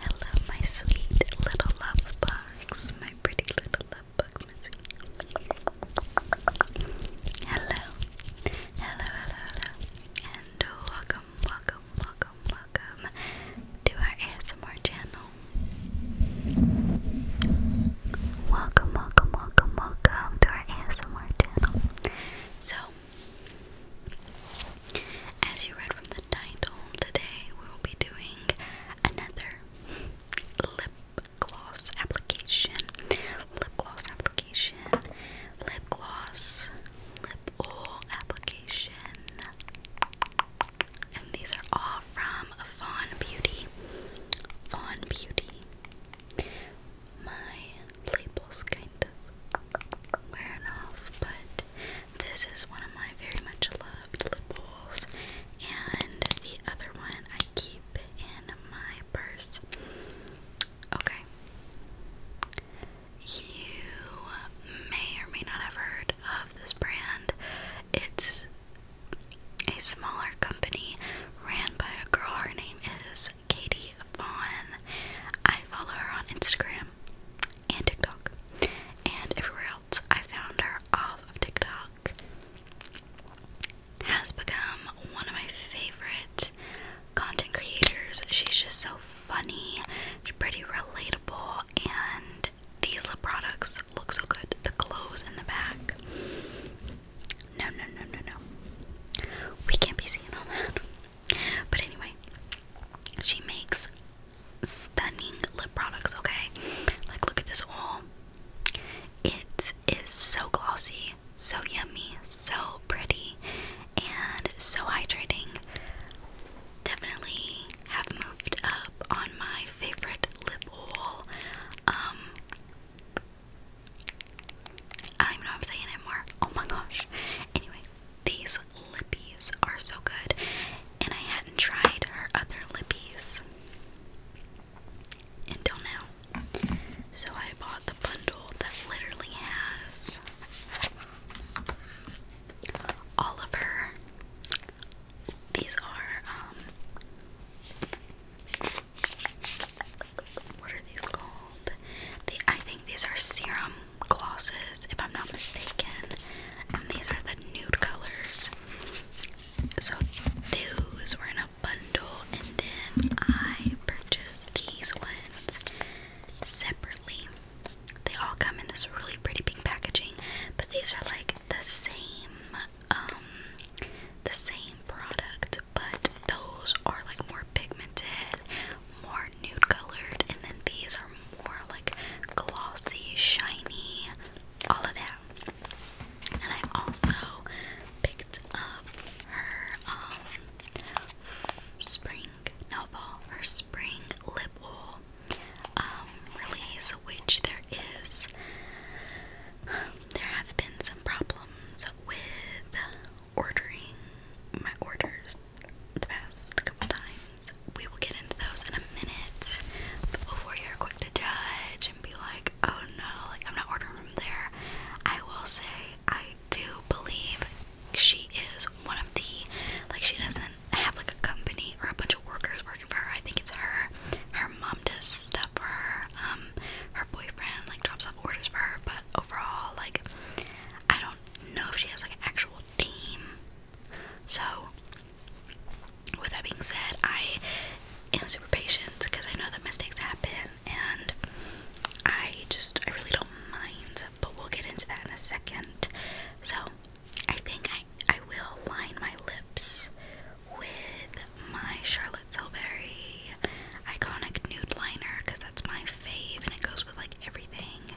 Hello, my sweet little love box, my pretty little love box, my sweet. Hello, hello, hello, hello, and welcome, welcome, welcome, welcome to our ASMR channel. Welcome, welcome, welcome, welcome to our ASMR channel. So, as you read from the title, today we will be doing another lip gloss application. Lip gloss application. Lip gloss. Lip oil application. And these are all from Fawn Beauty. Fawn Beauty. My label's kind of wearing off, but this is one of my very much loved lip balls, and the other one I keep in my purse. Okay. You may or may not have heard of this brand. It's a smaller company ran by a girl. Her name is Katie Vaughn. I follow her on Instagram and TikTok. And everywhere else, I found her off of TikTok. Has become one of my favorite content creators. She's just so funny, she's pretty relatable, and these lip products look so good. The clothes in the back. No, no, no, no, no. We can't be seeing all that. But anyway, she makes stunning lip products, okay? Like, look at this all. It is so glossy, so yummy, so pretty, and so hydrating. Definitely have moved up on my favorite lip oil. Um, I don't even know what I'm saying anymore. Oh my gosh. Anyway, these lippies are so good, and I hadn't tried her other lippies until now. So I bought the bundle that literally has all of her. These are, um, what are these called? I think these are serum glosses, if I'm not mistaken. And these are the nude colors. So those were in a bundle, and then I purchased these ones separately. They all come in this really pretty pink packaging, but these are like the same, um, the same product, but those are like more pigmented, more nude colored, and then these are more like glossy, shiny, all of that. And I also picked up her um spring no her spring lip oil um release, which there is there have been some problems with ordering my orders the past couple times. We will get into those in a minute. But before you're quick to judge and be like, oh no, like I'm not ordering from there, I will say I do believe she is one of the like she doesn't have like a company or a bunch of workers working for her. I think it's her. Her mom does stuff for her. Um her boyfriend like drops off orders for her, but overall like I don't know if she has like an actual team so, with that being said, I am super patient because I know that mistakes happen and I just, I really don't mind, but we'll get into that in a second. So, I think I, I will line my lips with my Charlotte Tilbury Iconic Nude Liner because that's my fave and it goes with like everything.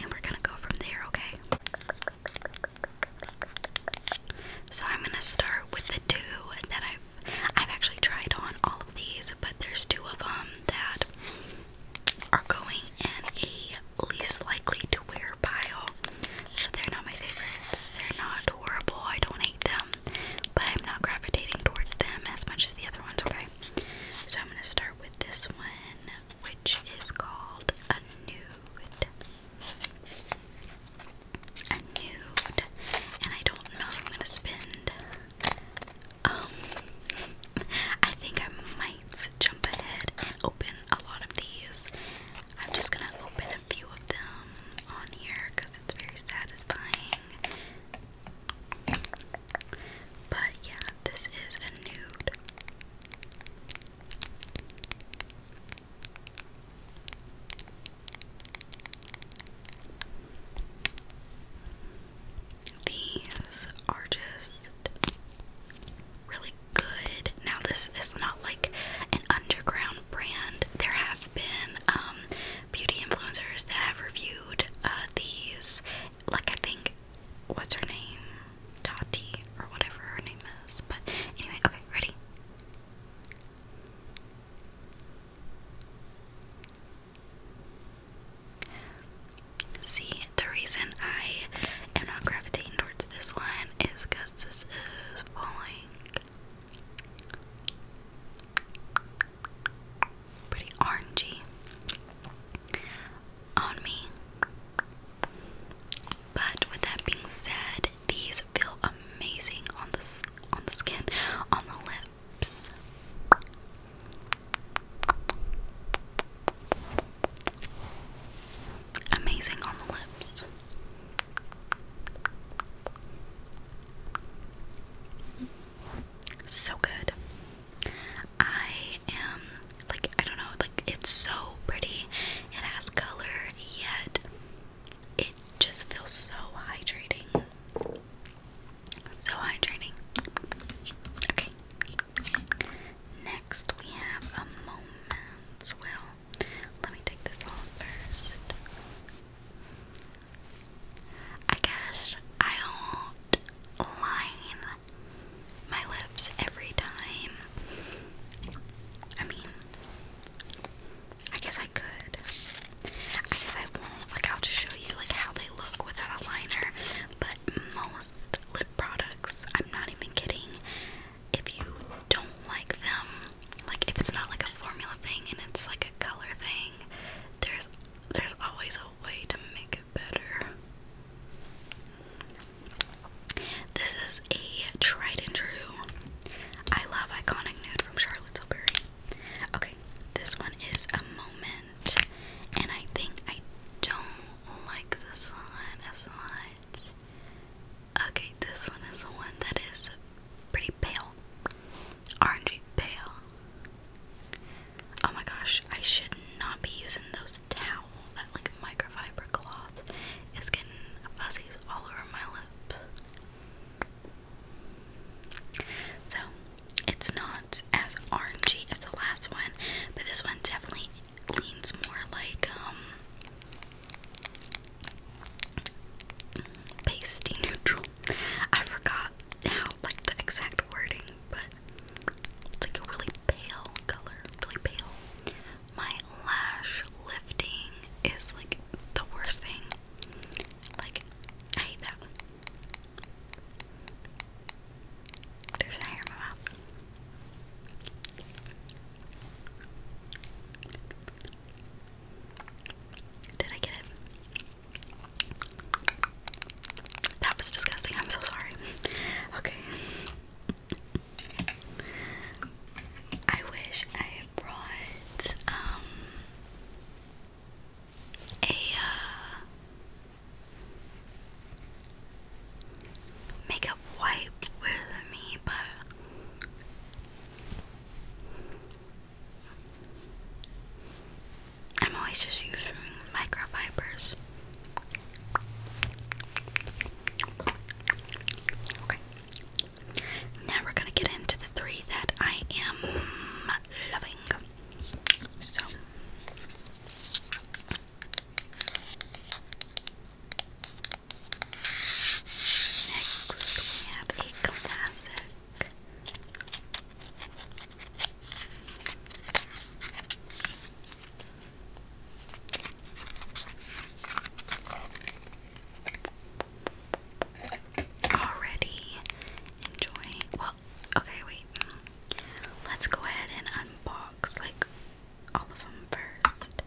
And we're gonna go from there, okay? So I'm gonna start with the two that I've I've actually tried on all of these, but there's two of them that are going in a least likely to wear pile. So they're not my favorites. They're not horrible. I don't hate them, but I'm not gravitating towards them as much as the other ones. Okay. So I'm gonna start with this one which is called a nude. A nude. And I don't know I'm gonna spend. Um, I think I might jump ahead and open a lot of these. I'm just gonna open a few of them on here because it's very satisfying. But yeah, this is a nude. These are just really good. Now, this is not like an underground brand. There have been um, beauty influencers that have reviewed uh, these. Like, I think what's her name? Tati or whatever her name is. But anyway, okay, ready? See, the reason I am not gravitating towards this one is because this is falling pretty orangey on me. But with that being said, these feel amazing on the on the skin, on the lips. Amazing on the lips. So good. I am like I don't know, like it's so pretty. It has color, yet it just feels so hydrating. So hydrating. Okay. Next we have a moment's will. Let me take this off first. I guess I don't line my lips every time. I mean, I guess I could. I guess I won't. Like, I'll just show you like how they look without a liner. But most lip products, I'm not even kidding. If you don't like them, like if it's not like a formula thing and it's like a color thing, there's there's always a way to make it better. This is a tried and true. I love iconic nude from Charlotte Tilbury. Okay, this one is a moment, and I think I don't like this one as much. Okay, this one is the one that is pretty pale, orangey pale. Oh my gosh, I should not be using those towel, that like microfiber cloth. It's getting fuzzies all over my lips. So, it's not as orangey as the last one, but this one definitely leans more like, um, pasty neutral. I forgot how, like, the exact wording, but it's like a really pale color, really pale my lash lifting is like the worst thing. Like, I hate that. There's a hair my mouth. Did I get it? That was disgusting. I'm so sorry. Okay. I wish I had brought um, a uh, makeup wipe with me, but I'm always just using microfibers. Okay. Now we're gonna get into the three that I am loving. So next we have a classic. Already enjoying. Well, okay, wait. Let's go ahead and unbox like all of them first.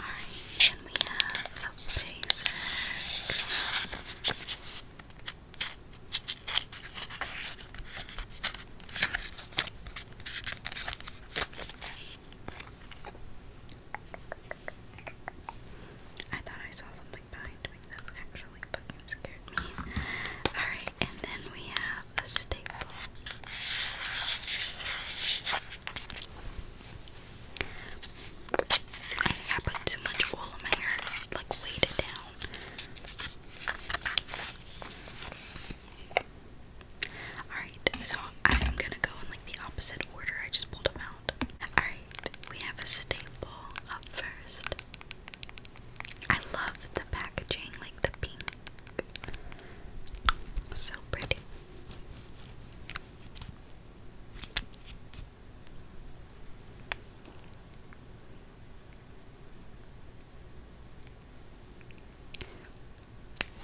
Alright, and we have a basic. I thought I saw something behind me that actually fucking scared me. Alright, and then we have a staple. I think I put too much oil in my hair, like weighted down. Alright, so I'm gonna go in like the opposite order. I just pulled them out. Alright, we have a staple up first. I love the packaging, like the pink. So pretty.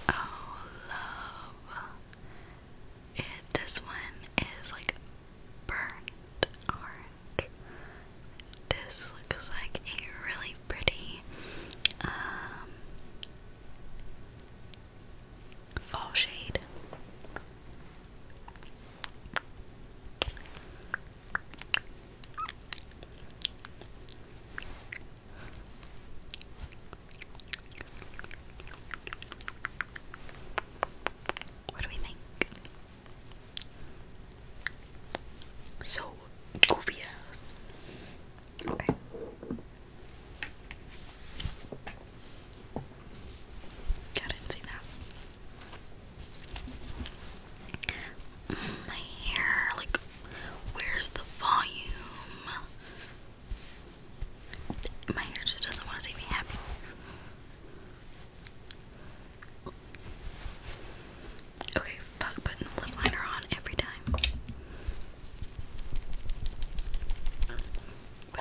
Oh, love. It, this one is like burnt orange. This looks like a really pretty um, fall shade. What do we think? So goofy Okay. I not see that my hair. Like, where's the volume? My hair just doesn't want to see me happy. Okay, fuck putting the lip liner on every time. But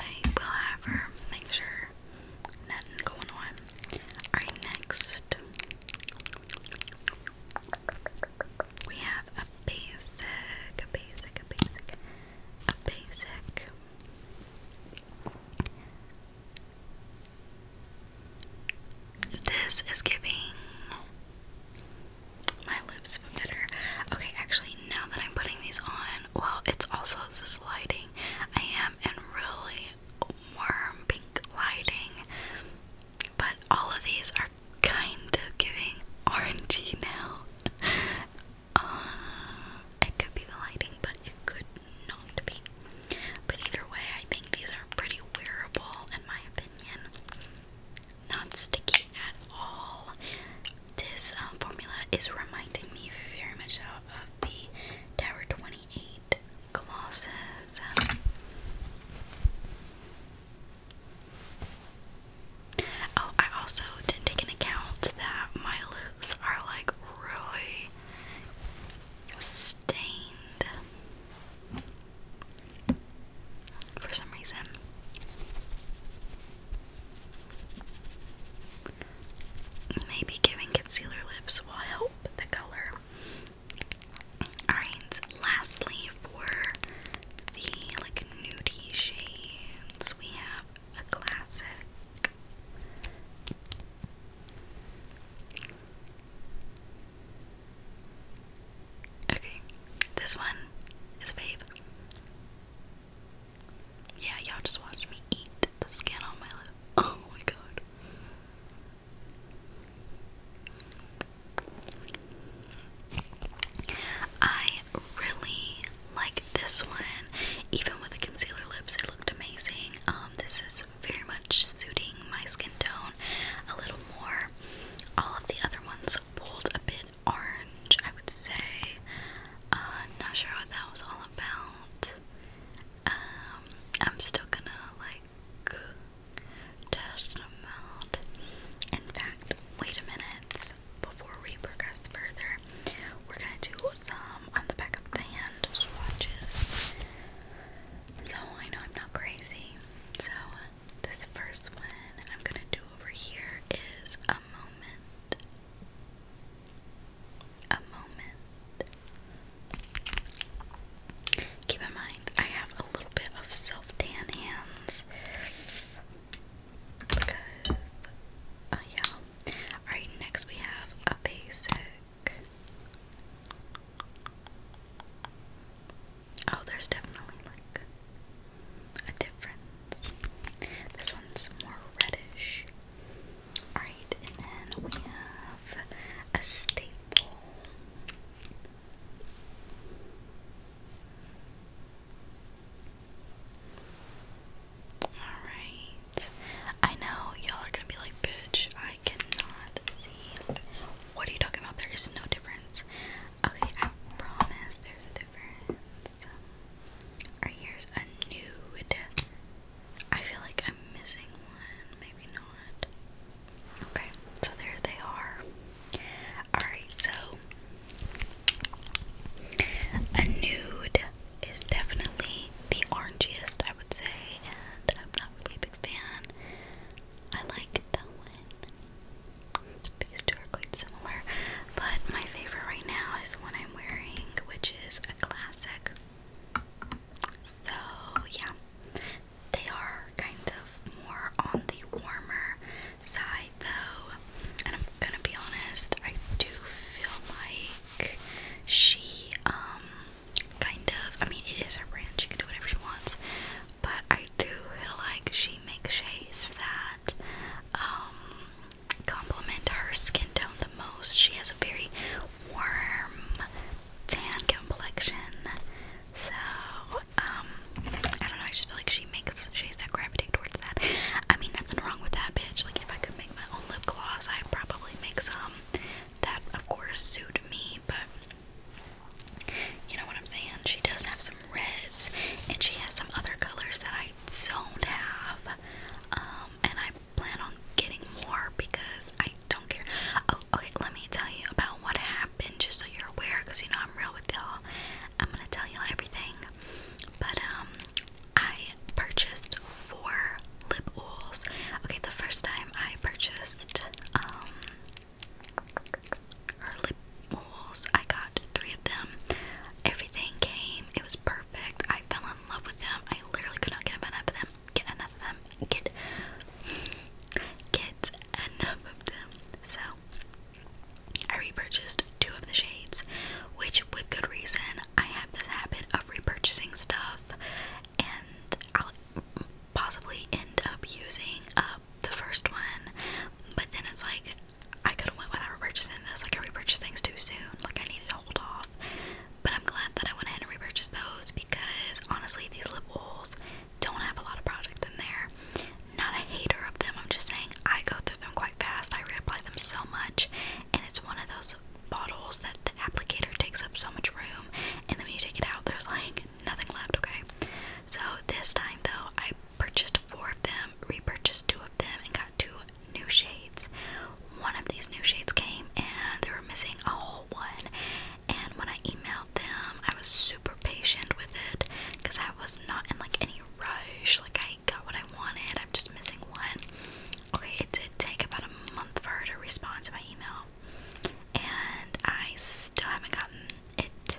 I will have her make sure nothing going on. Alright, next. We have a basic, a basic, a basic, a basic. This is giving my lips a better. Okay, actually, now that I'm putting these on, well, it's also this lighting. I am in really warm pink lighting. But all of these are kind of giving orangey now. uh, it could be the lighting, but it could not be. But either way, I think these are pretty wearable in my opinion. Not sticky at all. This um, formula is reminding me very much of the Tower 28 need Oh, I also didn't take into account that my lips are like really stained for some reason. Maybe giving concealer lips will help the color Alright, lastly for the like nudie shades, we have a classic. Okay, this one is a fave. Yeah, y'all just watched me eat the skin on my lip. Oh my god. I really like this one. Even with the concealer lips, it looked amazing. Um, this is very much suiting my skin tone a little more. All of the other ones pulled a bit orange, I would say. Uh, not sure what that was all about. Um, I'm still gonna like just amount. In fact, wait a minute. Before we progress further, we're gonna do some on the back of the hand swatches. So I know I'm not crazy. So this first one I'm gonna do over here is a moment. A moment. Keep in mind, I have a little bit of self tan hands because, oh yeah. Alright, next we have a basic. Oh, there's definitely like a difference. This one's more reddish. Alright, and then we have a staple. Alright. I know y'all are gonna be like, bitch, I cannot see. What are you talking about? There is no difference. Okay, I promise there's a difference. here's a nude. I feel like I'm missing one. Maybe not. Okay, so there they are. Alright, so a nude is definitely the orangiest, I would say, and I'm not really a big fan. I like that one. These two are quite similar, but my favorite right now is the one I'm wearing, which is a classic. So, yeah, they are kind of more on the warmer side though. And I'm gonna be honest, I do feel like she um kind of I mean it is her brand, she can do whatever she wants, but I do feel like she makes shades that um complement her skin tone the most. She has a very warm tan complexion. So um, I don't know, I just feel like she makes shades that gravitate towards that. I mean, nothing wrong with that, bitch. Like, if I could make my own lip gloss, I'd probably make some that, of course, suit me, but you know what I'm saying? She does have some reds, and she has some other colors that I don't have, um, and I plan on getting more because I don't care okay, let me tell you about what happened just so you're aware because you know I'm real with y'all. I'm gonna tell you everything. But, um, I purchased four lip oils. Okay, the first time I purchased, um, her lip oils, I got three of them. Everything came, it was perfect. I fell in love with them. I literally could not get enough of them. Get enough of them. Get get enough of them. So I repurchased two of the shades, which, with good reason, I have this habit of repurchasing stuff, and I'll possibly end up using up the first one, but then it's like I could have went without repurchasing this. Like I repurchased things too soon. Like I needed to hold off. But I'm glad that I went ahead and repurchased those because honestly, these lip oils don't have a lot of projects in there. Not a hater of them, I'm just saying I go through them quite fast. I reapply them so much, and it's one of those bottles that the applicator takes up so much room, and then when you take it out, there's like nothing left, okay? So this time though, I purchased four of them, repurchased two of them, and got two new shades. One of these new shades came and they were missing a whole one, and when I emailed them, I was super patient with it because I was not in like any rush. Like I got what I wanted. I'm just missing one. Okay, it did take about a month for her to respond to my email. And I still haven't gotten it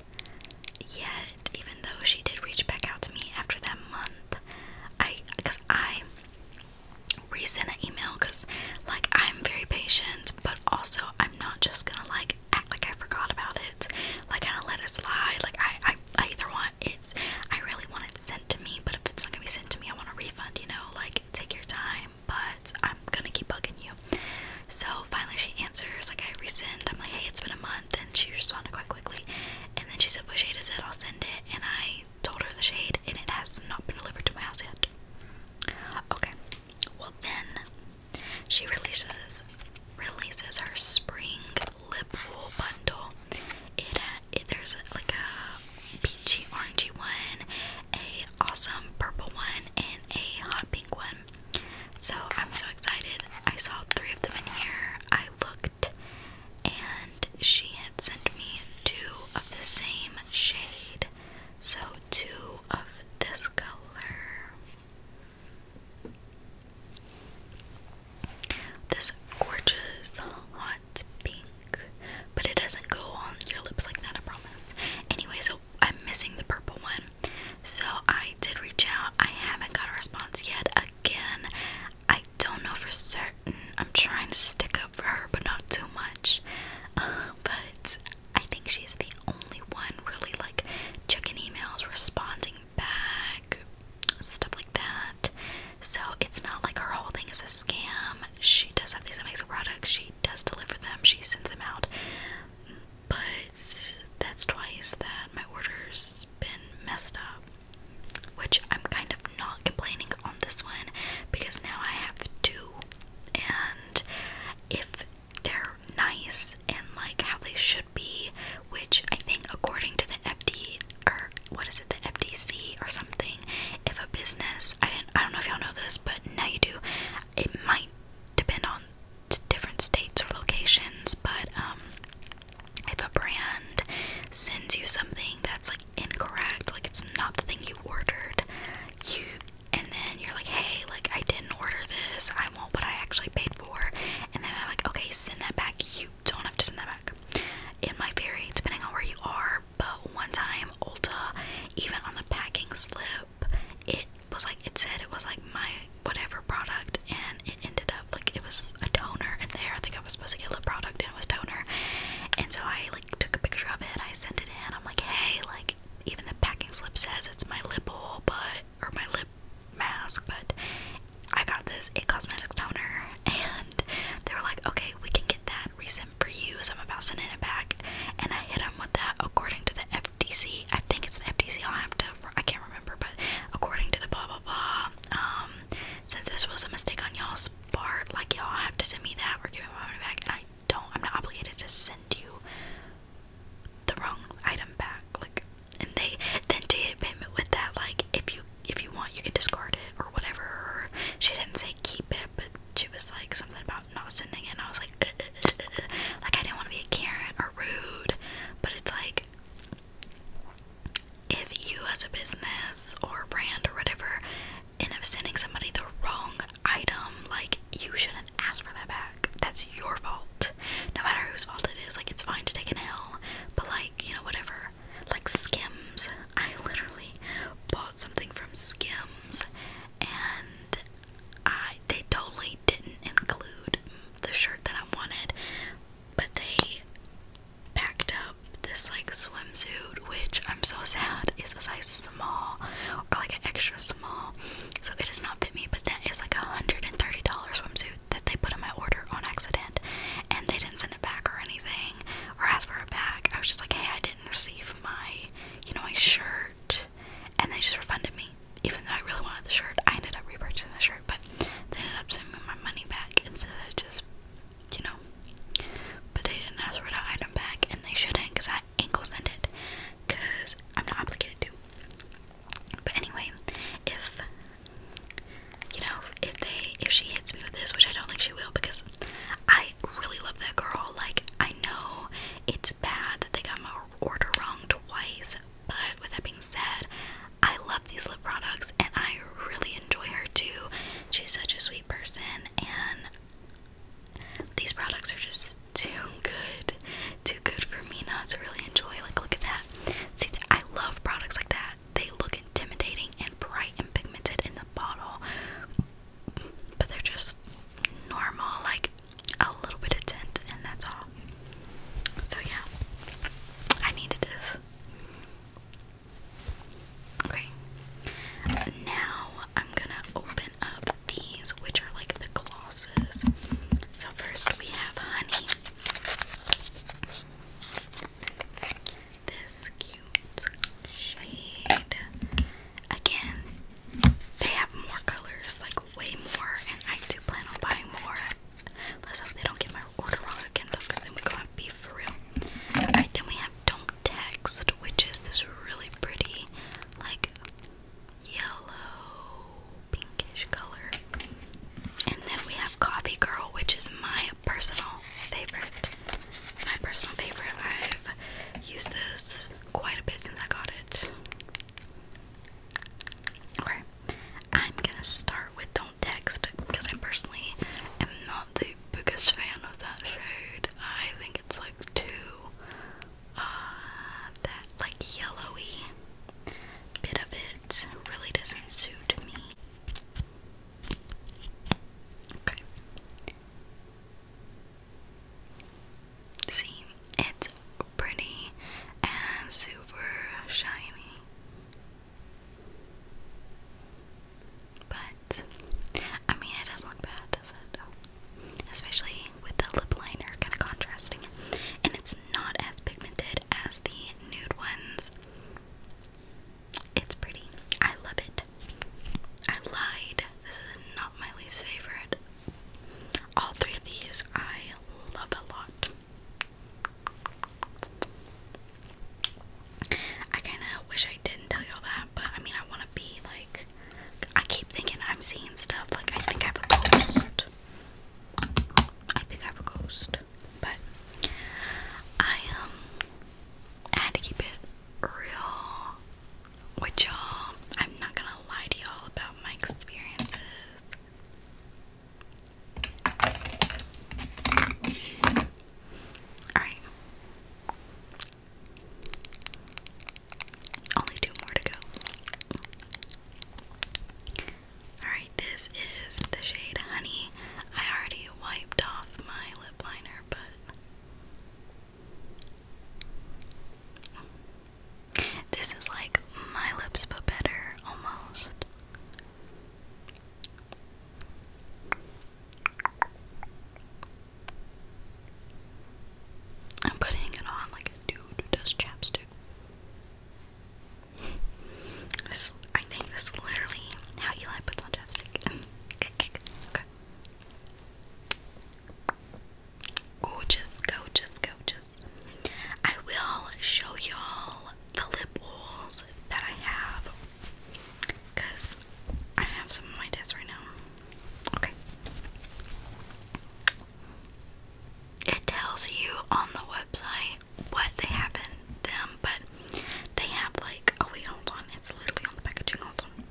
yet, even though she did reach back out to me after that month. I, because I resent an email because, like, I'm very patient, but also I'm not just gonna, like, act like I forgot about it, like kind of let it slide. Like I, I, I either want it's, I really want it sent to me, but if it's not gonna be sent to me, I want a refund. You know, like take your time, but I'm gonna keep bugging you. So finally, she answers. Like I resend. I'm like, hey, it's been a month, and she responded quite quickly. And then she said, what shade is it? I'll send it. And I told her the shade, and it has not been delivered to my house yet. Okay. Well then, she releases releases her spring lip wool bundle. It, it there's like a peachy orangey one, a awesome purple one, and a hot pink one. So I'm so excited. I saw three of them in here. I looked and she had sent me two of the same shade. So two of this color. This gorgeous hot pink, but it doesn't go on your lips like that, I promise. Anyway, so I'm missing the purple one. So I did reach out. I haven't got a response yet. Again, I don't know for certain. I'm trying to stick up for her, but not too much. Uh, but I think she's the only one really like checking emails, responding back, stuff like that. So it's not like her whole thing is a scam. She does have these amazing products, she does deliver them, she sends them out. But that's twice that my order's been messed up. Which I'm kind of not complaining on this one because now I have two. And if they're nice and like how they should be, which I think according to the FD or what is it, the FDC or something, if a business I didn't I don't know if y'all know this, but now you do, it might depend on different states or locations, but um if a brand sends you something that's like incorrect, like it's not the thing you ordered, you and then you're like, hey, like I didn't order this, I want what I actually paid for, and then I'm like, okay, send that back. You don't have to send that back. In my theory, depending on where you are, but one time Ulta, even on the packing slip, it was like it said it was like my whatever product, and it ended up like it was a toner And there. I think I was supposed to get lip product and it was toner, and so I like took a picture of it. I sent it in. I'm like, hey, like even the packing slip says it's my lip oil, but or my lip mask, but I got this a cosmetics toner, and they are like, "Okay, we can get that resent for you." So I'm about sending it back, and I hit them with that. According to the FTC, I think it's the FTC. i have to. I can't remember, but according to the blah blah blah, um, since this was a mistake on y'all's part, like y'all have to send me that or give me my money back. And I don't. I'm not obligated to send you the wrong item back like and they then to hit him with that like if you if you want you can discard it or whatever she didn't say keep it but she was like something about not sending it and I was like uh, uh, uh, like I didn't want to be a Karen or rude but it's like if you as a business or brand or whatever end up sending somebody the wrong item like you shouldn't ask for that back. That's your fault. No matter whose fault it is, like it's fine to take an L, but like, you know, whatever. Like Skims. I literally bought something from Skims and I they totally didn't include the shirt that I wanted, but they packed up this like swimsuit, which I'm so sad is a size small or like an extra small so it does not fit me. But that is like a hundred and thirty dollar swimsuit that they put in my order on accident, and they didn't send it back or anything or ask for it back. I was just like, hey, I didn't receive my, you know, my shirt, and they just refunded me. Even though I really wanted the shirt, I ended up repurchasing the shirt, but they ended up sending me my money back instead of just, you know. But they didn't ask for the item back, and they shouldn't, cause I ain't gonna send it, cause I'm not obligated to. But anyway, if you know, if they if she hits me with this, which I don't think she will because I really love that girl. Like I know it's bad that they got my order wrong twice, but with that being said, I love these lip products and I really enjoy her too. She's such a sweet person and these products are just too good. Too good for me not to really enjoy. Like, look at that. See, that? I love products like that. They look intimidating and bright and pigmented in the bottle, but they're just normal, like a little bit of tint, and that's all. So, yeah, I needed it. Okay, now I'm gonna open up these, which are like the glosses. So, first we have honey. This cute shade. Again, they have more colors, like way more, and I do plan on buying more. Let's hope they don't get my order wrong again, though, because then we go have beef for real. Alright, then we have Don't Text, which is this really pretty, like yellow, pinkish color. And then we have Coffee Girl, which is my personal favorite. My personal favorite. I've used this quite a bit since I got it. Okay, I'm gonna start with Don't Text because I personally am not the biggest fan of that shade. I think it's like too uh, that like yellowy bit of it really doesn't suit me. Okay. See, it's pretty and super shiny. But, I mean, it doesn't look bad, does it? Especially with the lip liner, kind of contrasting it. And it's not as pigmented as the nude ones. It's pretty. I love it. I lied. This is not my least favorite. All three of these I love a lot. I kind of wish I didn't tell y'all that, but I mean, I want to be like. I keep thinking I'm seeing stuff, like, I think I have a ghost. I think I have a ghost, but um, I had to keep it real with y'all. I'm not gonna lie to y'all about my experiences. Alright. Only two more to go. Alright, this is the shade Honey. I already wiped off my lip liner, but this is like my lips, but better almost. I'm putting it on like a dude who does chapstick. This, I think this is literally how Eli puts on chapstick. okay. Gorgeous, gorgeous, gorgeous. I will show y'all the lip oils that I have. Because I have some on my desk right now. Okay it tells you on the website what they have in them, but they have like oh wait hold on, it's literally on the packaging, hold on.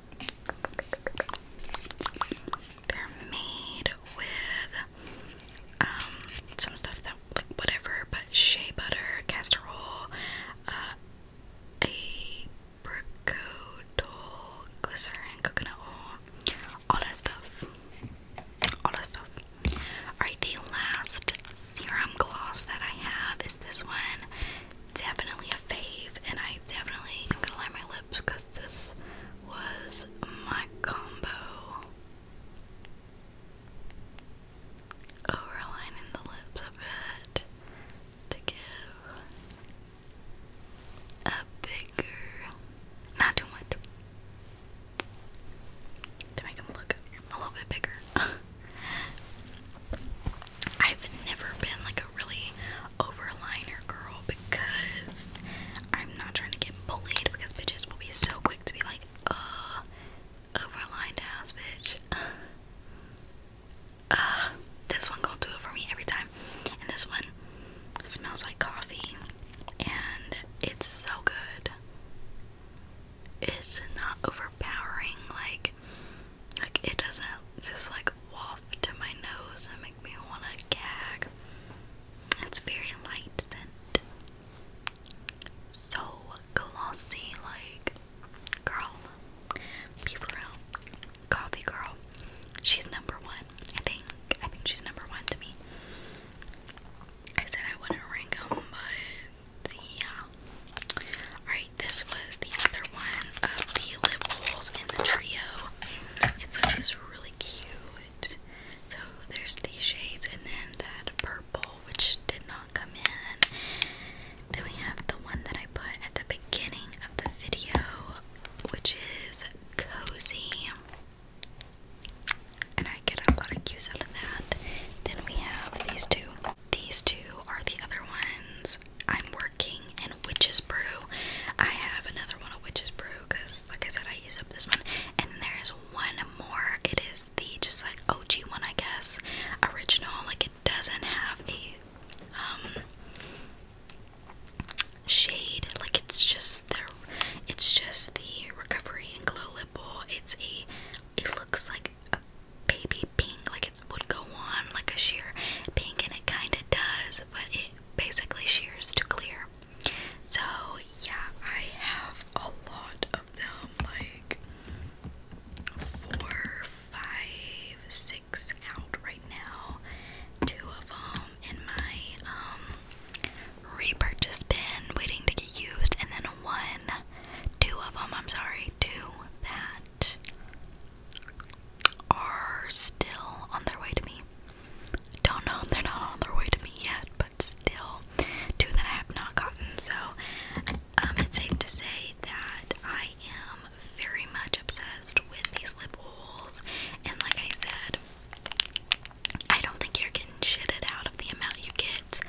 They're made with um some stuff that like whatever, but shea butter, castor oil, uh apricot glycerin, coconut oil, all that stuff. All that stuff. Alright, the last serum gloss that I have is this one. Definitely a fave, and I definitely am gonna line my lips because this was my combo. Overlining the lips a bit to give a bigger, not too much, to make them look a little bit bigger. I've never been like a really overliner girl because I'm not trying to get bullied because bitches will be so quick to be like, uh, overlined ass bitch. Uh, this one gonna do it for me every time. And this one, smells like coffee and it's so good. It's not overpowering, like like it doesn't just like waft to my nose and make me wanna gag. It's very light scent. So glossy, like girl. Be real. Coffee girl. She's number one. I think I think she's number one to me. I said I wouldn't rank them, but yeah. Alright, this was the other one of the lip rolls in the trio. It's like this really cute. So there's these shades and then that purple which did not come in. Then we have the one that I put at the beginning of the video, which is cozy and I get a lot of cues out of that. Then we have these two. These two are the other ones. I'm working in Witch's Brew. I have another one of Witch's Brew because, like I said, I use up this one. And there is one more. It is the just like OG one, I guess. Original. Like it doesn't have a um, shade. Like it's just the it's just the recovery and glow lip balm. It's a it looks like a baby pink, like it would go on like a sheer pink, and it kind of does, but it basically shears to clear. So yeah, I have a lot of them, like four, five, six out right now. Two of them in my um, repurchase bin waiting to get used, and then one, two of them, I'm sorry, two that are still on their way to me. Don't know, they're not on their way to me yet, but still, two that I have not gotten. So, um, it's safe to say that I am very much obsessed with these lip oils, and like I said, I don't think you're getting shitted out of the amount you get,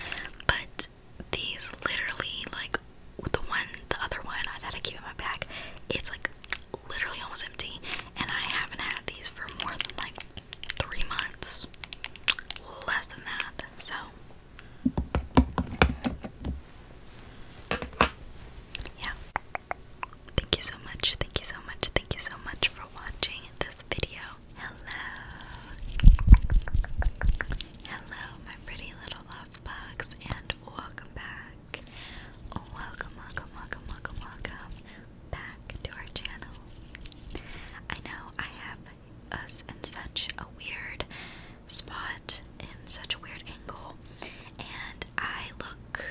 but these literally, like the one, the other one I've had to keep in my bag, it's like literally almost empty, and I haven't had these for more than like three months, less than that. So, yeah. Thank you so much, thank you so much, thank you so much for watching this video. Hello. Hello, my pretty little love box, and welcome back. Welcome, welcome, welcome, welcome, welcome back to our channel. I know I have us in such a weird spot, in such a weird angle, and I look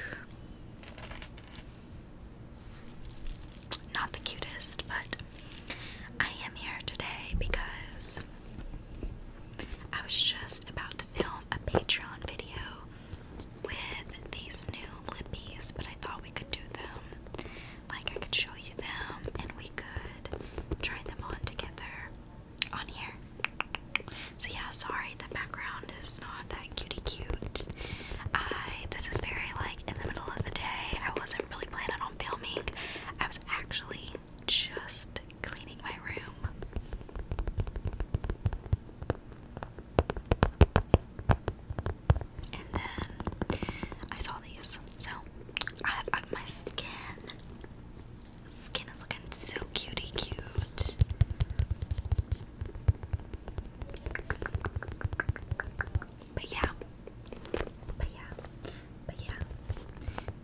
not the cutest, but I am here today because I was just about to film a Patreon video with these new lippies, but I thought we could do them. Like, I could show you them and we could try them on together on here. So, yeah, sorry, the background is not that cutie cute. I this is very like in the middle of the day. I wasn't really planning on filming. I was actually just cleaning my room. And then I saw these. So uh, my skin skin is looking so cutie cute. But yeah, but yeah, but yeah.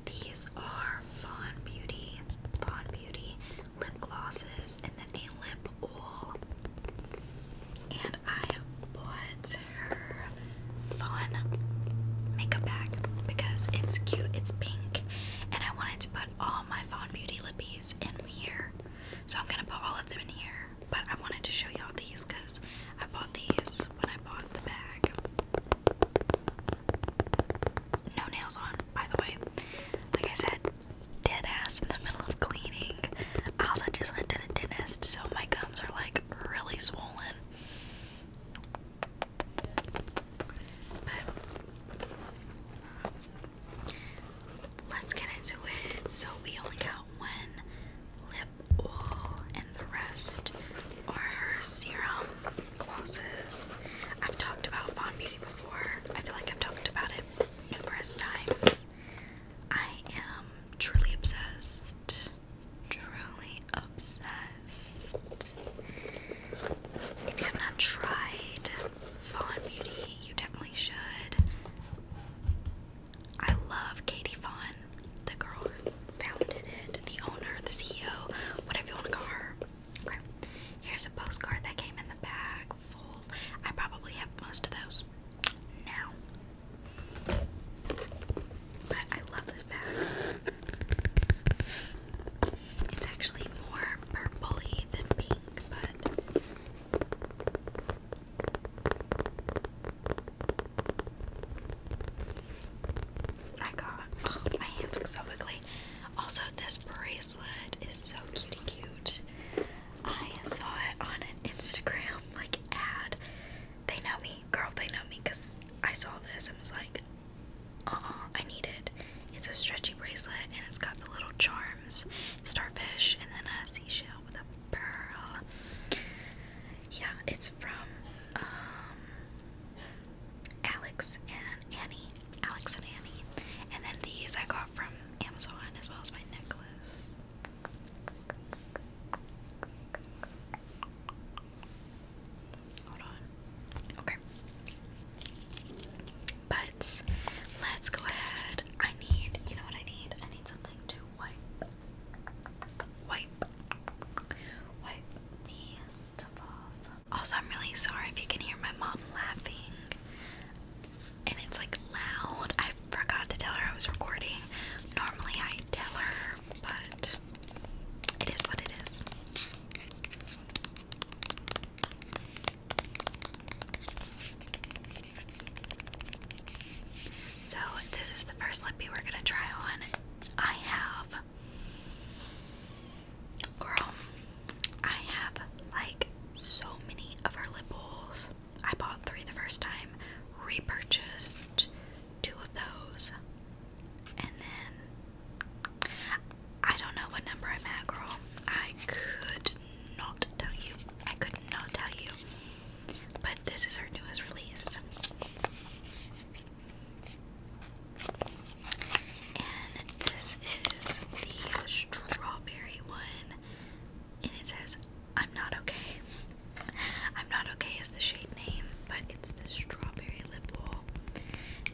These are Fawn Beauty, Fawn Beauty lip glosses and then a lip oil. And I bought her Fawn makeup bag because it's cute, it's pink, and I wanted to put all my Fawn Beauty lippies in here. So I'm gonna put all of them in here but I wanted to show y'all these because I bought these when I bought the bag. No nails on, by the way. Like I said, dead ass in the middle of cleaning. also just went to the dentist, so my gums are like really swollen. Let's get into it. So we only got one lip oil and the rest are her serum glosses. I've talked about Fawn Beauty before. I feel like I've talked about it numerous times. I am truly obsessed. Truly obsessed. If you have not tried Fawn Beauty, you definitely should. I love Katie Fawn, the girl who founded it, the owner, the CEO, whatever you want to call her. Okay, here's a postcard that came in the bag full. I probably have most of those now. But I love this bag. It's actually more purpley than pink, but I got oh, my hands look so ugly. Also, this bracelet is so cutie cute. I saw it on an Instagram like ad. They know me, girl. They know me because I saw this and was like, "Uh, I need it." It's a stretchy bracelet and it's got the little charms, starfish, and then a seashell with a Pearl. Yeah, it's from um, Alex and Annie. Alex and Annie. And then these I got from Amazon as well as my necklace. Hold on. Okay. But let's go ahead. I need, you know what I need? I need something. Also, I'm really sorry if you can hear my mom laughing and it's like loud. I forgot to tell her I was recording. Normally, I tell her, but it is what it is. So, this is the first lippy we're gonna try on. I have, girl, I have like so many of her lip balls. I bought three the first time, repurchased two of those, and then I don't know what number I'm at, girl. I could not tell you. I could not tell you. But this is her newest release. And this is the strawberry one. And it says, I'm not okay. I'm not okay is the shade name, but it's the strawberry lip oil.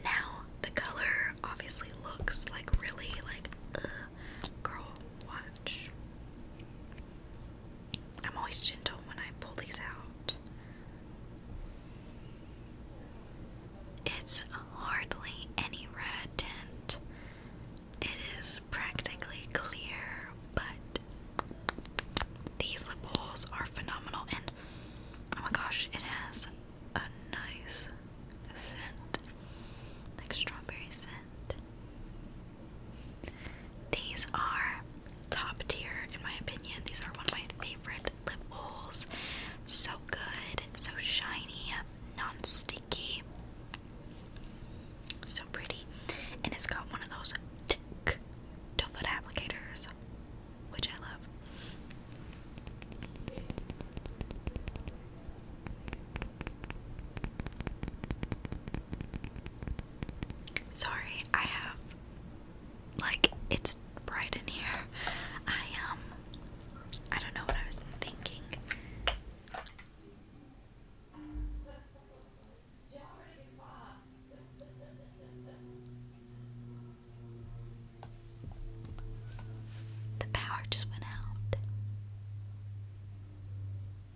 Now, the color obviously looks like really like, girl, I'm always gentle when I pull these out. It's hardly any red tint. It is practically clear, but these lip balls are phenomenal and oh my gosh, it has a nice scent. Like strawberry scent. These are top tier in my opinion. These are one of my favorite lip bowls. So good, so shiny, non-sticky, so pretty. And it's got one of those thick doe foot applicators, which I love. Sorry, I have like it's bright in here. I um I don't know what I was thinking. The power just went out.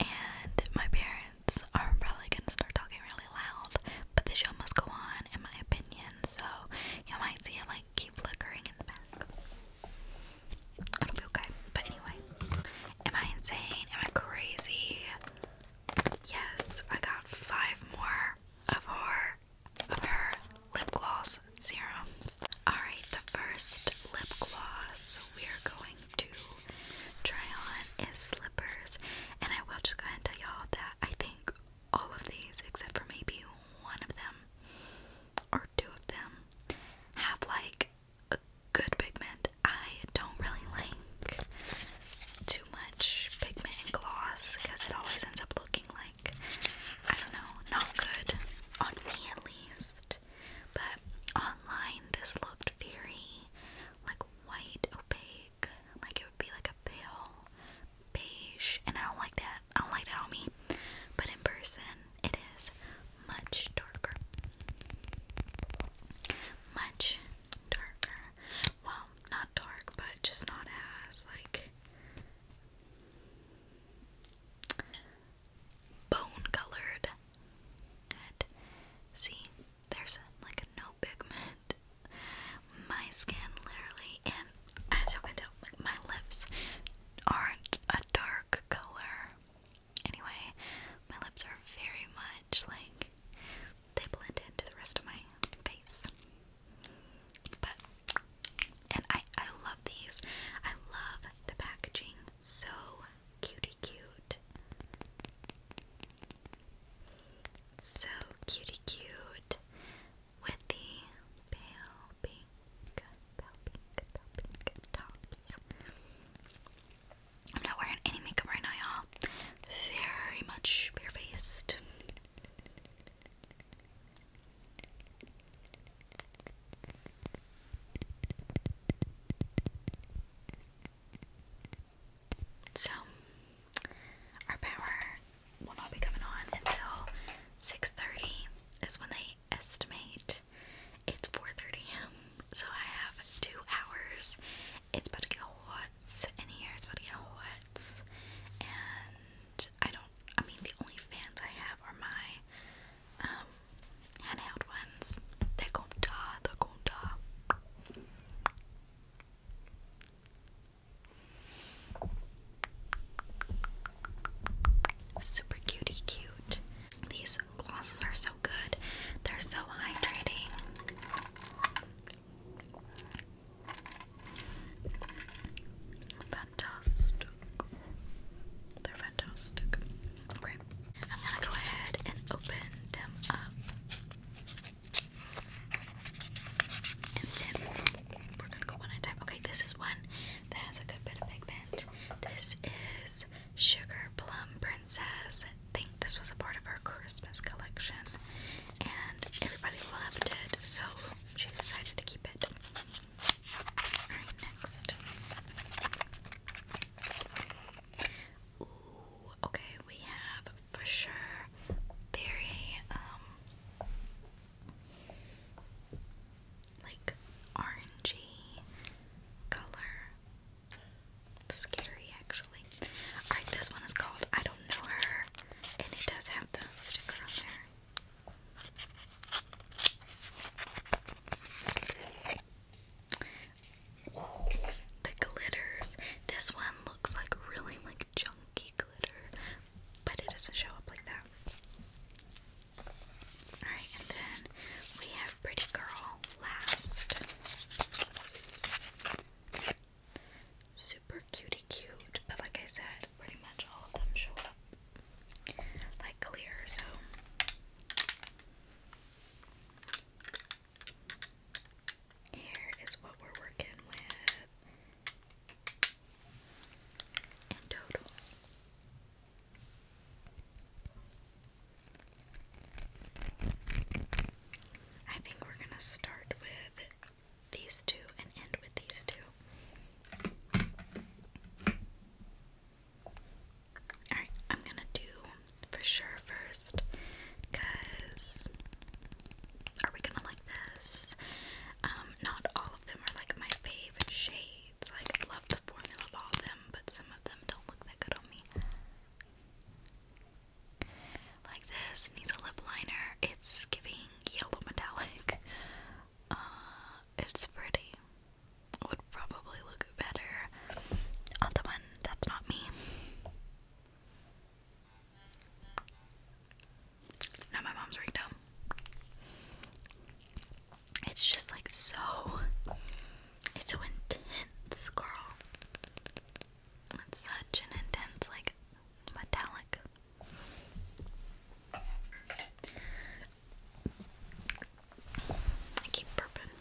and my parents are probably gonna start talking really loud, but the show must go on, in my opinion, so you might see it like keep flickering in the back. It'll be okay, but anyway. Am I insane? Am I crazy? Yes, I got five more of her, of her lip gloss serums. Alright, the first lip gloss we're going to try on is slippers. And I will just go ahead and tell y'all that I think all of these, except for maybe one of them or two of them, have like a good pigment. I don't really like too much pigment and gloss because it always ends up looking like I don't know, not good on me at least. But online, this looked very like white, opaque, like it would be like a pale beige, and I don't like that. I don't like that on me, but in person, it is much darker. Much darker. Well, not dark, but just not as like bone colored. And see, there's like no pigment. My skin literally, and as you can tell, my lips aren't a dark color. Anyway, my lips are very much like they blend into the rest of my face. But and I I love these. I love the packaging so cutie cute. So cutie cute with the pale pink, pale pink, pale pink tops. I'm not wearing any makeup right now, y'all. Very much barefaced. So, our power will not be coming on until 6:30 is when they estimate it's 4:30 a.m. So I have two hours. It's about to get hot in here. It's about to get hot, and I don't. I mean, the only fans I have are my um, handheld ones. They're gonna Super cutie cute. These glosses are so good. They're so hydrating. Fantastic. They're fantastic. Okay. I'm gonna go ahead and open them up. Okay, this is one that has a good bit of pigment. This is Sugar Plum Princess. I think this was a part of our Christmas collection, and everybody loved it, so she decided to keep it. Alright, next. Ooh, okay, we have for sure very um like orangey color. Scary actually. Alright, this one is called I Don't Know Her and it does have the sticker on there the glitters. This one looks like really like junky glitter, but it doesn't show up like that. Alright, and then we have Pretty Girl last. Super cutie cute, but like I said, pretty much all of them show up like clear, so here is what we're working with in total. I think we're going to start with these two and end with these two. Alright, I'm going to do for sure first, because are we gonna like this? Um, not all of them are like my favorite shades. Like I love the formula of all them, but some of them don't look that good on me. Like this needs a lip liner. It's giving yellow metallic. Uh, it's pretty. Would probably look better on the one that's not me. Now my mom's right It's just like so. It's so intense, girl. It's such an intense, like metallic. I keep burping.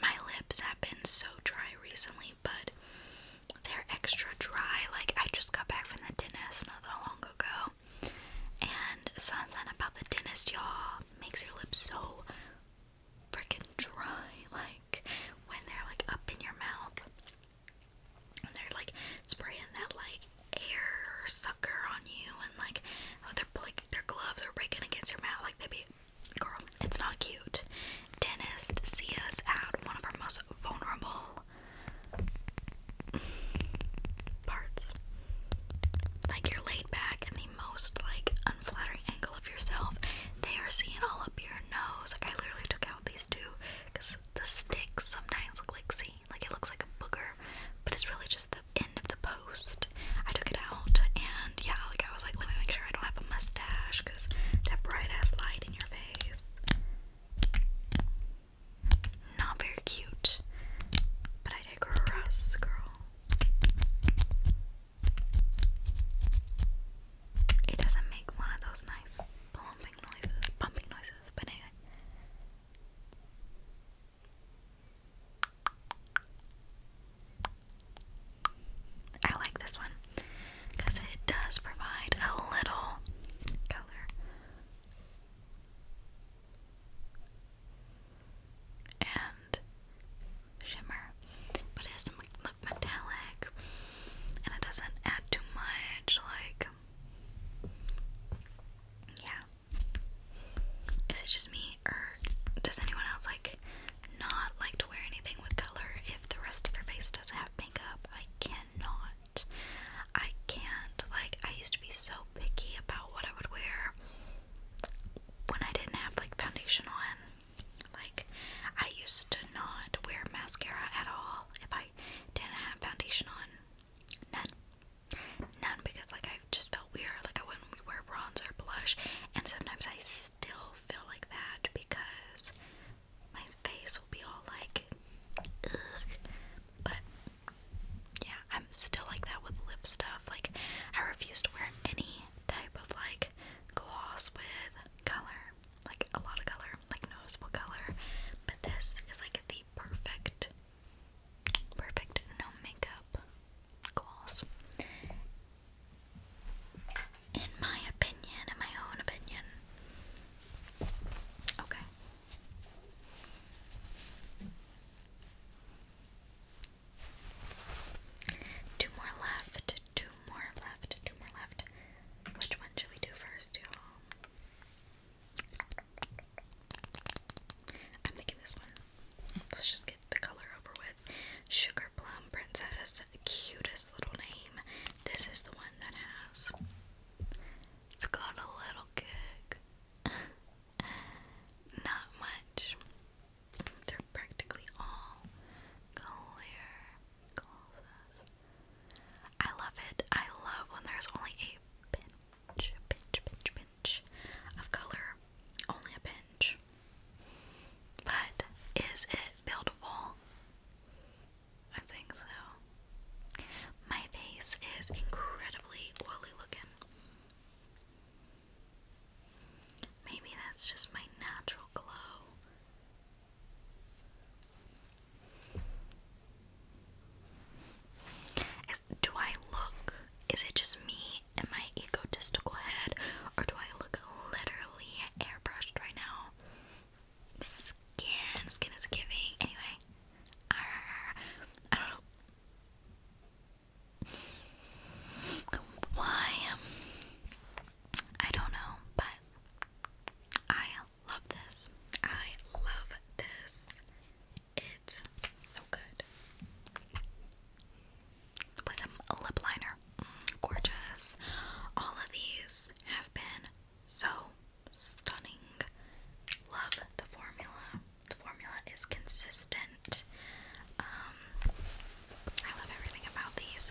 My lips have been so dry recently, but they're extra dry. Like, I just got back from the dentist not that long ago. And something about the dentist, you makes your lips so freaking dry. Like, when they're like up in your mouth, they're like spraying that like air sucker on you, and like oh, they're like their gloves are breaking against your mouth, like they be girl. It's not cute. Dentist, see us at one of our most vulnerable parts. Like you're laid back in the most like unflattering angle of yourself. They are seeing all up your nose. Like I literally took out these two because the sticks sometimes look like see like it looks like a booger, but it's really just the end of the post. I took it out, and yeah, like I was like, let me make sure I don't have a mustache because that bright ass light in your face. Not very cute, but I dig a ass, girl. It doesn't make one of those nice plumping noises, pumping noises, but anyway. I like this one because it does provide a little color. And shimmer, but it's look metallic, and it doesn't add too much like yeah is it just me or does anyone else like not like to wear anything with color if the rest of their face doesn't have makeup I cannot I can't like I used to be so picky about what I would wear when I didn't have like foundation on like I used to not wear mascara at all if I didn't have foundation on none None because like I've just felt weird like I wouldn't wear bronze or blush and sometimes I still feel like that because my face will be all like but yeah I'm still like that with lip stuff like I refuse to wear any type of like gloss with color like a lot of color like noticeable color but this is like the perfect Perfect no makeup gloss. In my opinion, in my own opinion. Okay. Two more left, two more left, two more left. Which one should we do first, y'all? I'm making this one. Let's just get the color over with. Sugar Plum Princess, cutest little name. This is the one that has. It's got a little kick. Not much. They're practically all clear glosses. I love it. I love when there's only a pinch, pinch, pinch, pinch of color. Only a pinch. But is it buildable? I think so. My face is incredibly oily looking. Maybe that's just my natural glow. Is, do I look, is it just me and my egotistical head, or do I look literally airbrushed right now? Skin, skin is giving. Anyway, I don't know. Why? Um, I don't know, but I love this. I love this. It's so good. With a lip liner. Mm, gorgeous. All of these have been so stunning. Love the formula. The formula is consistent. Um, I love everything about these.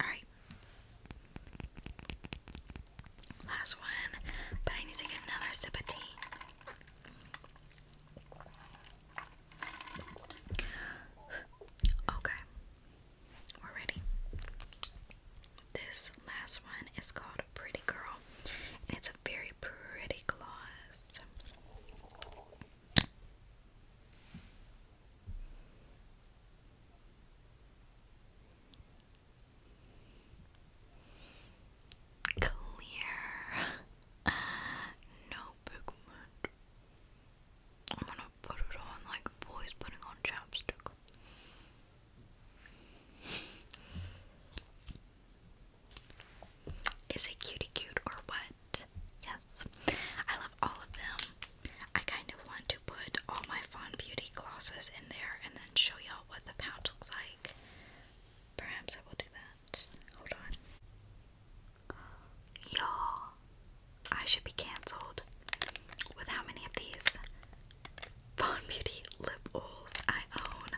Alright. Last one, but I need to get another sip of tea. Okay, we're ready. This last one is called Pretty Girl, and it's a very pretty gloss. Clear. no pigment. I'm gonna put it on like boys putting on chapstick. Is it cutie cute or what? yes, I love all of them. I kind of want to put all my Fawn Beauty glosses in there and then show y'all what the pouch looks like. Perhaps I will do that. Hold on. Y'all, I should be cancelled with how many of these Fawn Beauty lip oils I own.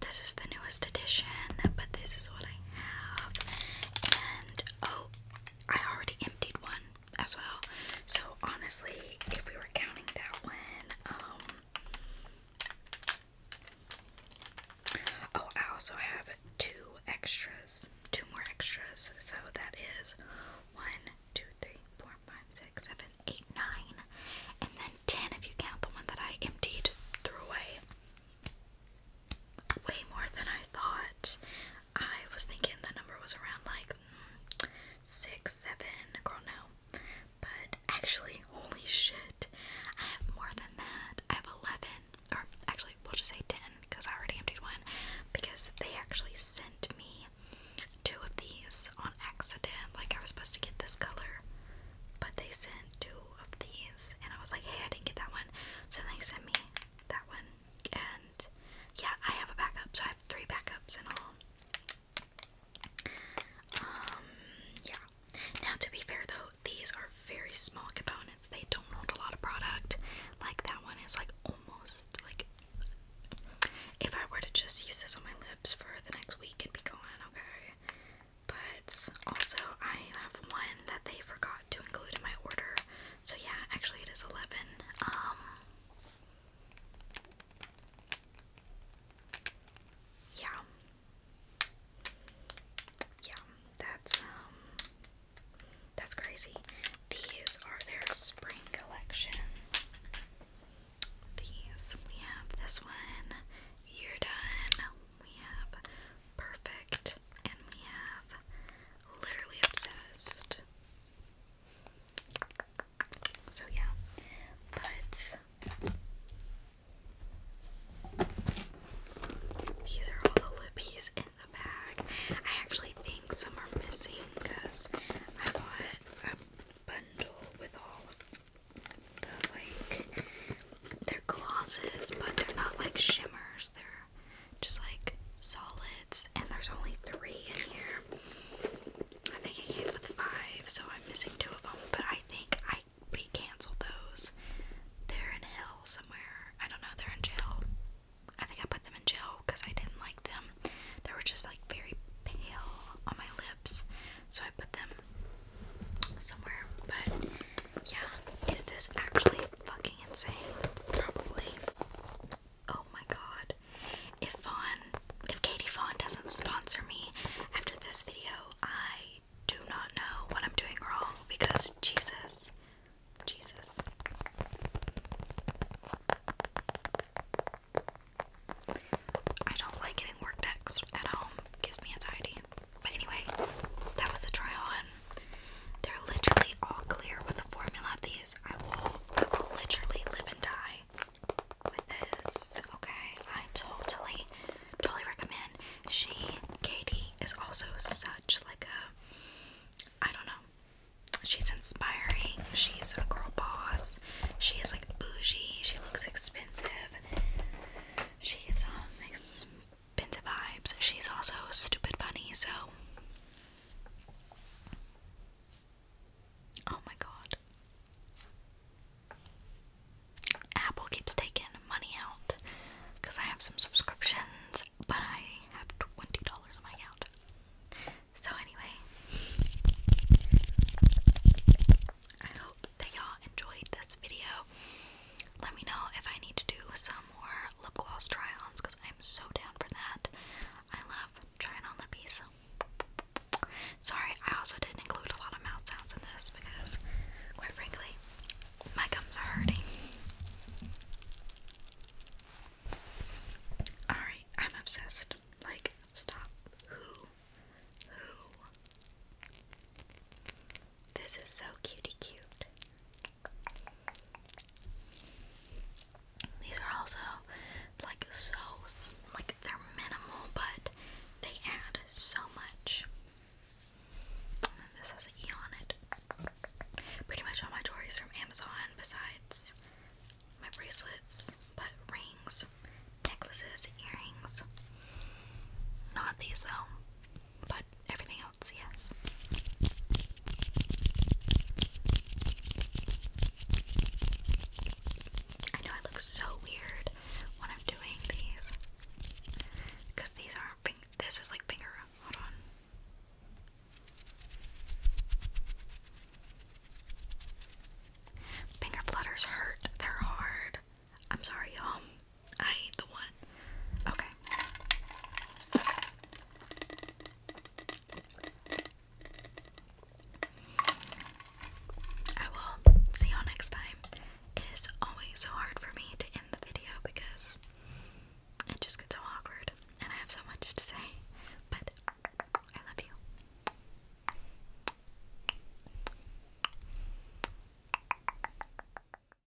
This is the newest edition, but this is what I and oh, I already emptied one as well. So honestly, if we were counting that one, um oh, I also have two extras. Two more extras. So that is one, two, three, four, five, six, seven, eight, nine, and then ten if you count the one that I emptied, threw away way more than I thought. I was thinking the number was around like six, seven, girl, no. But actually, holy shit, I have more than that. I have 11, or actually, we'll just say 10 because I already emptied one because they actually sent me two of these on accident. Like, I was supposed to get this color but they sent two of these, and I was like, hey, I didn't get that one, so they sent me that one, and yeah, I have a backup, so I have three backups in all. Um, yeah. Now, to be fair though, these are very small components. They don't hold a lot of product. Like that one is like almost like if I were to just use this on my lips for the next week, it'd be gone. Okay, but also, I have one that they forgot to include in my order. So yeah, actually, it is eleven. Um, yeah, yeah, that's um, that's crazy. These are their spring collection. These we have this one. You're done we have perfect, and we have literally obsessed. So, yeah, but these are all the lippies in the bag. I actually think some are missing because I bought a bundle with all of the like they're glosses, but they're not like shimmers. They're just like solids, and there's only three in here. I think it came with five, so I'm missing two of them. But I think I we canceled those. They're in hell somewhere. I don't know. They're in jail. I think I put them in jail because I didn't like them. They were just like very pale on my lips, so I put them somewhere. But yeah, is this actually fucking insane, probably. Oh my god. If Fawn, if Katie Fawn doesn't sponsor me after this video, I do not know what I'm doing wrong because Jesus, Jesus. I don't like getting work text at home. gives me anxiety. But anyway, that was the try on. They're literally all clear with the formula of these. I will, I will literally live and die with this. Okay, I totally, totally recommend. She, Katie, is also such like a, I don't know. She's inspiring. She's a girl boss. She is like bougie. She looks expensive. She is um, Pinta vibes. She's also stupid funny, so. Oh my god. Apple keeps taking money out because I have some subscriptions, but I have $20 on my account. So, anyway, I hope that y'all enjoyed this video. Let me know if I need to do some more lip gloss try ons because I'm so down for that. I love trying on lippies. Sorry, I also didn't include a lot of mouth sounds in this because, quite frankly, my gums are hurting. Alright, I'm obsessed. Like, stop. Who? Who? This is so cutie cute. These are also like so like they're minimal, but they add so much. And then this has an on it. Pretty much all my jewelry is from Amazon, besides my bracelets, but rings, necklaces, earrings. Not these though, but everything else, yes. I know I look so weird when I'm doing these. Because these aren't this is like finger hold on. Finger flutters hurt. They're hard. I'm sorry, y'all. I ate the one. Okay. I will see y'all next time. It is always so hard for me to end the video because it just gets so awkward and I have so much to say. But I love you.